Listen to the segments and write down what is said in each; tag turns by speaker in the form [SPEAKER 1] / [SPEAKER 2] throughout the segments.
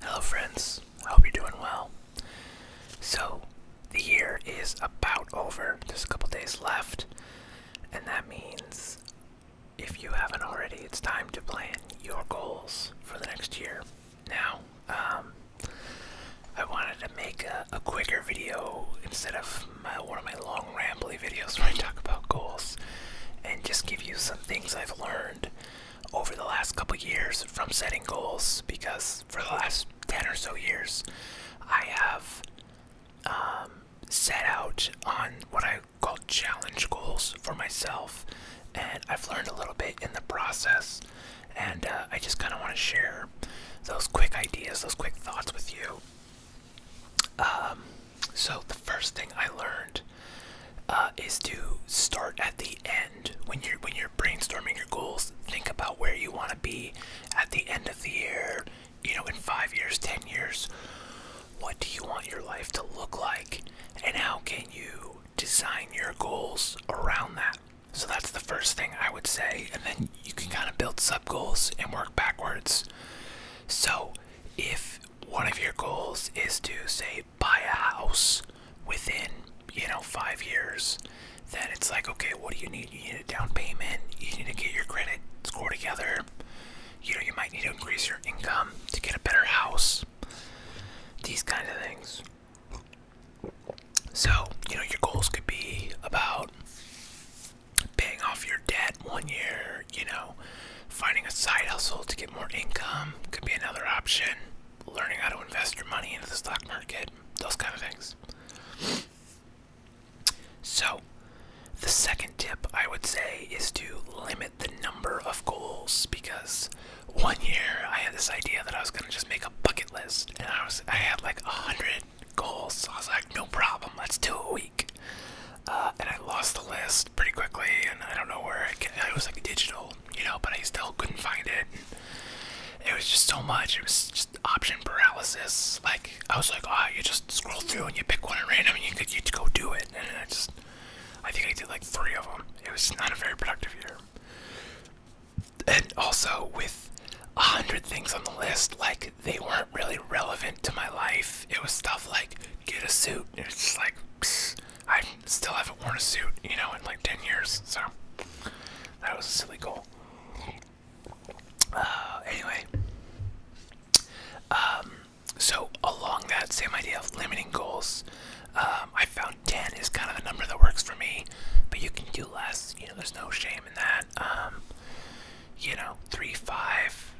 [SPEAKER 1] Hello, friends. I hope you're doing well. So, the year is about over. There's a couple days left, and that means if you haven't already, it's time to plan your goals for the next year. Now, um, I wanted to make a, quicker video instead of one of my long rambling videos where I talk about goals and just give you some things I've learned over the last couple years from setting goals because for the last 10 or so years I have um, set out on what I call challenge goals for myself and I've learned a little bit in the process and uh, I just kind of want to share those quick ideas, those quick thoughts with you. Um, so the first thing I learned uh, is to start at the end when you're when you're brainstorming your goals. Think about where you want to be at the end of the year. You know, in five years, ten years, what do you want your life to look like, and how can you design your goals around that? So that's the first thing I would say, and then you can kind of build sub goals and work backwards. So if one of your goals is to save they buy a house within, you know, five years, then it's like, okay, what do you need? You need a down payment, you need to get your credit score together, you know, you might need to increase your income to get a better house, these kind of things. So, you know, your goals could be about paying off your debt one year, you know, Finding a side hustle to get more income could be another option. Learning how to invest your money into the stock market, those kind of things. So, the second tip I would say is to limit the number of goals because one year I had this idea that I was going to just make a bucket list and I was I had like a hundred goals. So I was like, no problem, let's do it. We uh, and I lost the list pretty quickly, and I don't know where it, was like digital, you know, but I still couldn't find it. it was just so much. It was just option paralysis. Like I was like, oh, you just scroll through and you pick one at random, and you could you go do it. And I just, I think I did like three of them. It was not a very productive year. And also with a hundred things on the list, like they weren't really relevant to my life it was stuff like get a suit. It's just like I still haven't worn a suit, you know, in like ten years. So that was a silly goal. Uh, anyway, um, so along that same idea of limiting goals, um, I found ten is kind of the number that works for me, but you can do less. You know, there's no shame in that. Um, you know, three, five,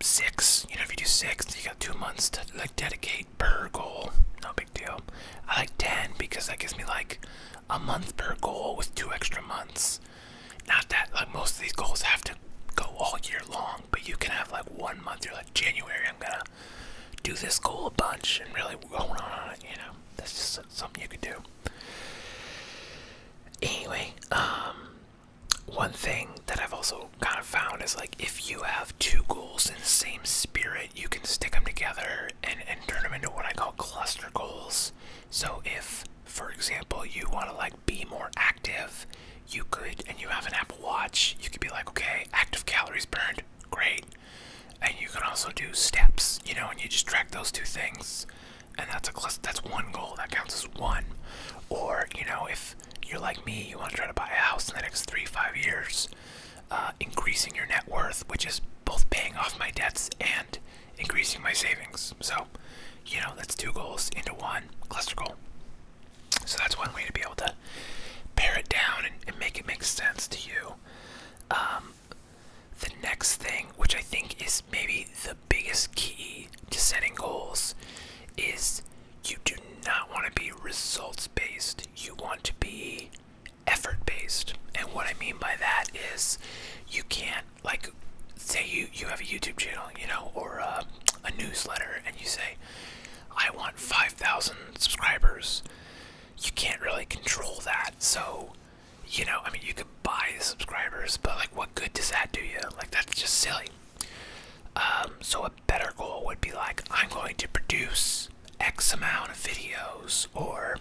[SPEAKER 1] six. You know, if you do six, you got two months to like dedicate per goal. No big deal. I like ten because that gives me like a month per goal with two extra months. Not that like most of these goals have to go all year long, but you can have like one month. You're like January. I'm gonna do this goal a bunch and really hone on it. You know, that's just something you can do. Anyway, um, one thing that I've also kind of found is like if you have two goals in the same spirit, you can stick them together and, and turn them into what I call cluster goals. So if, for example, you want to like be more active, you could, and you have an Apple Watch, you could be like, okay, active calories burned, great. And you can also do steps, you know, and you just track those two things and that's a cluster, that's one goal that counts as one. Or you know, if you're like me, you want to try to buy a house in the next three five years, uh, increasing your net worth, which is both paying off my debts and increasing my savings. So, you know, that's two goals into one cluster goal. So that's one way to be able to pare it down and, and make it make sense to you. Um, the next thing, which I think is maybe the biggest key to setting goals is you do not want to be results based. You want to be effort based. And what I mean by that is you can't like say you you have a YouTube channel, you know, or a, a newsletter and you say I want 5,000 subscribers. You can't really control that. So you know, I mean, you could buy subscribers, but like, what good does that do you? Like, that's just silly. Um, so a better goal would be like, I'm going to produce X amount of videos, or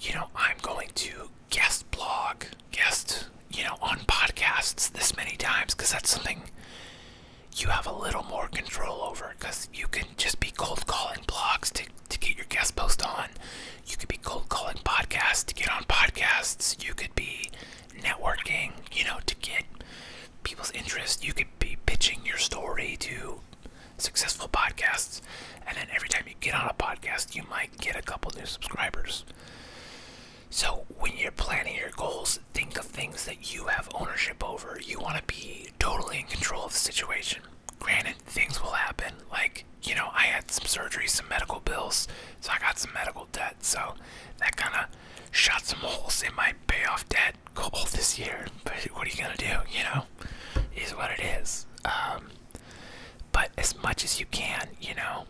[SPEAKER 1] you know, I'm going to guest blog, guest, you know, on podcasts this many times, because that's something you have a little more control over, because you can just be cold calling blogs to to get your guest post on. You could be cold calling podcasts to get on podcasts. You could be networking, you know, to get people's interest. You could be pitching your story to successful podcasts. And then every time you get on a podcast, you might get a couple new subscribers. So, when you're planning your goals, think of things that you have ownership over. You want to be totally in control of the situation. Granted, things will happen. Like, you know I had some surgery, some medical bills, so I got some medical debt. So that kind of shot some holes in my payoff debt goal this year. But what are you gonna do? You know, is what it is. Um, but as much as you can, you know,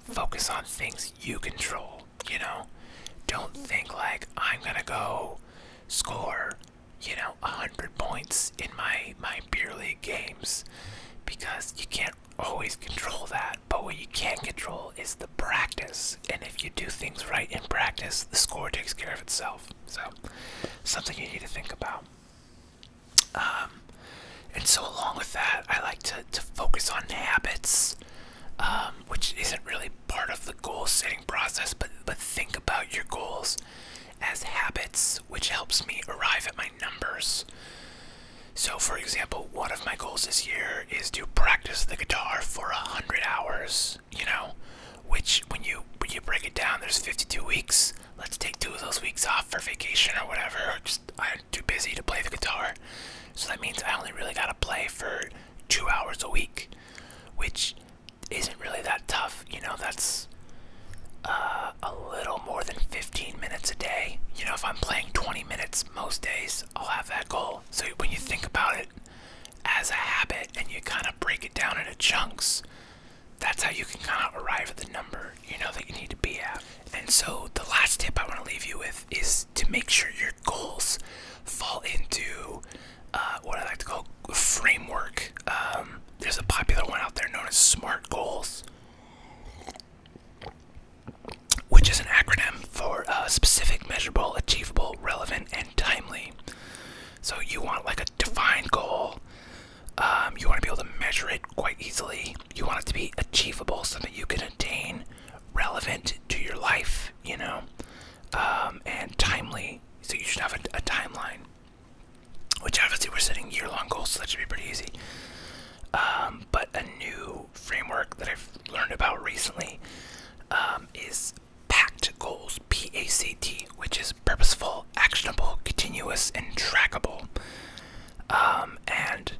[SPEAKER 1] focus on things you control. You know, don't think like I'm gonna go score, you know, a hundred points in my my beer league games because you can't always control that but what you can control is the practice and if you do things right in practice the score takes care of itself so something you need to think about um, and so along with that i like to, to focus on habits um, which isn't really part of the goal setting process but but think about your goals as habits, which helps me arrive at my numbers. So, for example, one of my goals this year is to practice the guitar for a hundred hours. You know, which when you when you break it down, there's 52 weeks. Let's take two of those weeks off for vacation or whatever. just I'm too busy to play the guitar, so that means I only really gotta play for two hours a week, which isn't really that tough. You know, that's uh, a little more than 15 minutes a day. You know, if I'm playing 20 minutes most days, I'll have that goal. So when you think about it as a habit and you kind of break it down into chunks, that's how you can kind of arrive at the number you know that you need to be at. And so the last tip I want to leave you with is to make sure your goals fall into uh, what I like to call framework. Um, there's a popular one out there known as SMART goals, which is an acronym for uh, specific, measurable, achievable, relevant, and timely. So you want like a defined goal. Um, you want to be able to measure it quite easily. You want it to be achievable, something you can attain, relevant to your life, you know, um, and timely. So you should have a timeline. Which obviously we're setting year-long goals, so that should be pretty easy. Um, but a new framework that I've learned about recently um, is PACT goals, P-A-C-T, which is purposeful, actionable, continuous, and trackable. Um, and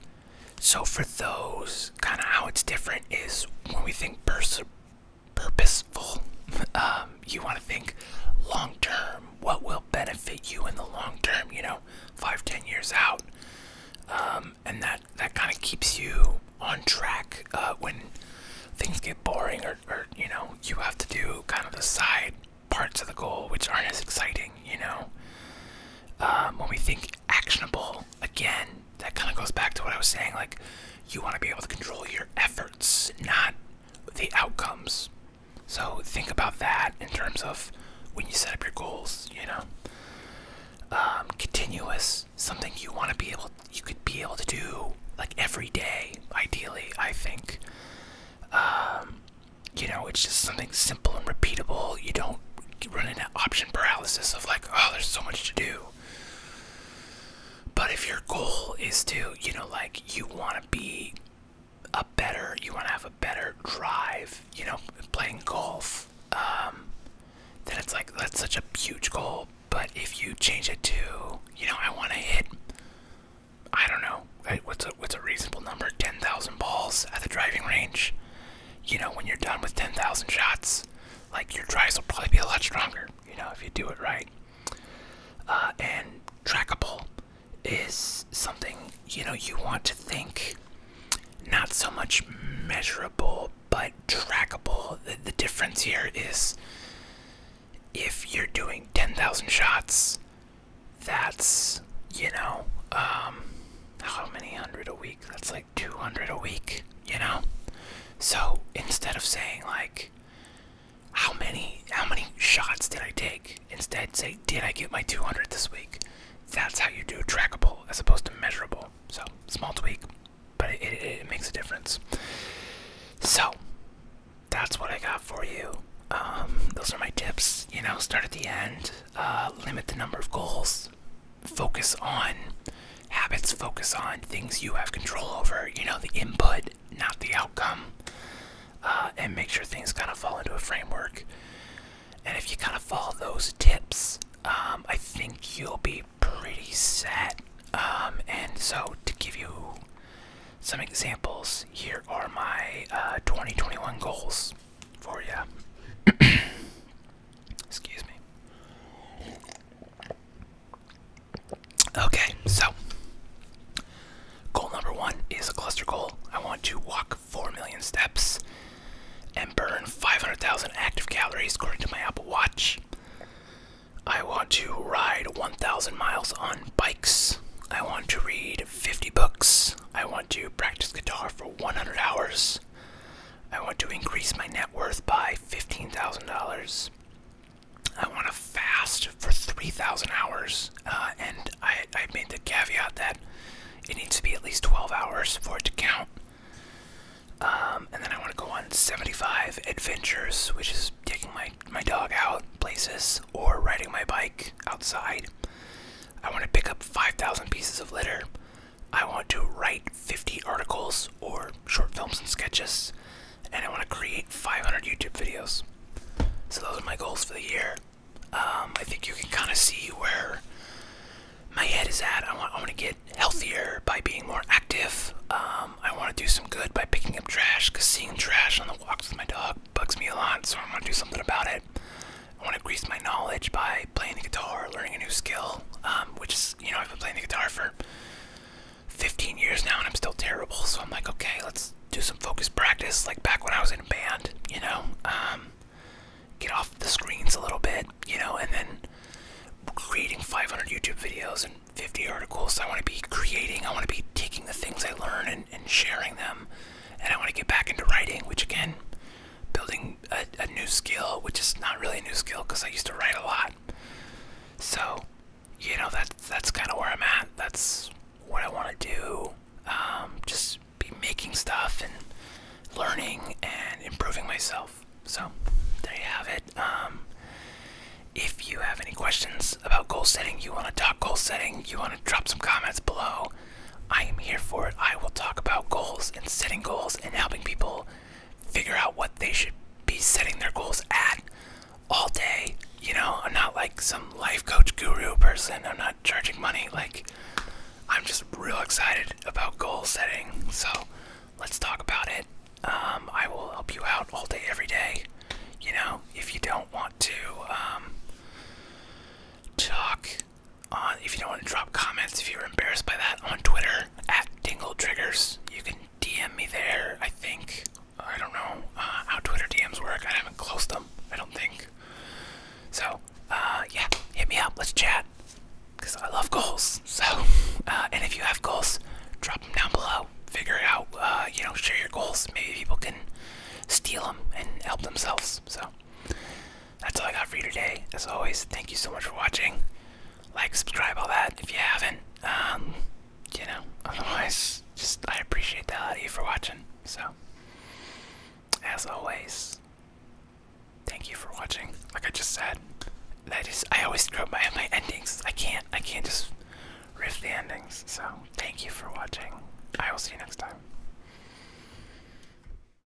[SPEAKER 1] so for those, kind of how it's different is when we think pers purposeful. Um, you want to think long term. What will benefit you in the long term? You know, five, ten years out, um, and that that kind of keeps you on track uh, when things get boring, or, you know, you have to do kind of the side parts of the goal which aren't as exciting. You know, um, when we think actionable again, that kind of goes back to what I was saying. Like, you want to be able to control your efforts, not the outcomes. So think about that in terms of when you set up your goals, you know. Um, continuous, something you want to be able, you could be able to do like every day, ideally, I think. Um, you know, it's just something simple and repeatable. You don't run into option paralysis of like, oh, there's so much to do. But if your goal is to, you know, like you want to be a better, you want to have a better drive, you know, playing golf, um, then it's like that's such a huge goal. But if you change it to, you know, I want to hit, I don't know, what's a what's a reasonable number? Ten thousand balls at the driving range. You know, when you're done with ten thousand shots, like your drives will probably be a lot stronger. You know, if you do it right. Uh, and trackable is something you know you want to think not so much measurable but trackable. The, the difference here is if you're doing 10,000 shots, that's you know, um, how many hundred a week? That's like 200 a week, you know? So instead of saying like, how many how many shots did I take? Instead say did I get my 200 this week? That's how you do trackable as opposed to measurable. So small tweak, but it, makes a difference. So that's what I got for you. Um, those are my tips. You know, start at the end. Uh, limit the number of goals. Focus on Habits focus on things you have control over, you know, the input, not the outcome, uh, and make sure things kind of fall into a framework. And if you kind of follow those tips, um, I think you'll be pretty set. Um, and so, to give you some examples, here are my uh, 2021 goals for you. Excuse me. Okay, so goal number one is a cluster goal. I want to walk 4 million steps and burn 500,000 active calories according to my Apple Watch. I want to ride 1,000 miles on bikes. I want to read 50 books. I want to practice guitar for 100 hours. I want to increase my net worth by $15,000. I want to fast for 3,000 hours, uh, and I, I made the caveat that it needs to be at least 12 hours for it to count. Um, and then I want to go on 75 adventures, which is taking my, my dog out places or riding my bike outside. I want to pick up 5,000 pieces of litter. I want to write 50 articles or short films and sketches, and I want to create 500 YouTube videos. So those are my goals for the year. Um, I think you can kind of see where my head is at. I want, I want to get healthier by being more active. Um, I want to do some good by picking up trash because seeing trash on the walks with my dog bugs me a lot, so I want to do something about it. I want to increase my knowledge by playing the guitar, learning a new skill, um, which you know, I've been playing the guitar for 15 years now and I'm still terrible. So I'm like, okay, let's do some focused practice, like back when I was in a band, you know, um, get off the screens a little bit, you know, and then creating 500 YouTube videos and 50 articles. I want to be creating, I want to be taking the things I learn and sharing them. And I want to get back into writing, which again, building a, new skill, which is not really a new skill because I used to write a lot. So, you know, that, that's kind of where I'm at. That's what I want to do. Um, just be making stuff and learning and improving myself. So, there you have it. Um, if you have any questions about goal setting, you want to talk goal setting, you want to drop some comments below, I am here for it. I will talk about goals and setting goals and helping people figure out what they should be setting their goals at all day. You know, I'm not like some life coach guru person, I'm not charging money. Like, I'm just real excited about goal setting. So, let's talk about it. Um, I will help you out all day, every day. You know, if you don't want to um, talk if you don't want to drop comments if you're embarrassed by that on Twitter at Dingle Triggers. You can DM me there, I think. I don't know uh, how Twitter DMs work. I haven't closed them, I don't think. So, uh, yeah, hit me up. Let's chat. Because I love goals. So, uh, and if you have goals, drop them down below. Figure out. you know, share your goals. Maybe people can steal them and help themselves. So, that's all I got for you today. As always, thank you so much for watching. Like, subscribe, all that if you haven't. Um, you know, otherwise, just I appreciate the hell of you for watching. So, as always, thank you for watching. Like I just said, I just I always screw up my my endings. I can't I can't just riff the endings. So, thank you for watching. I will see you next time.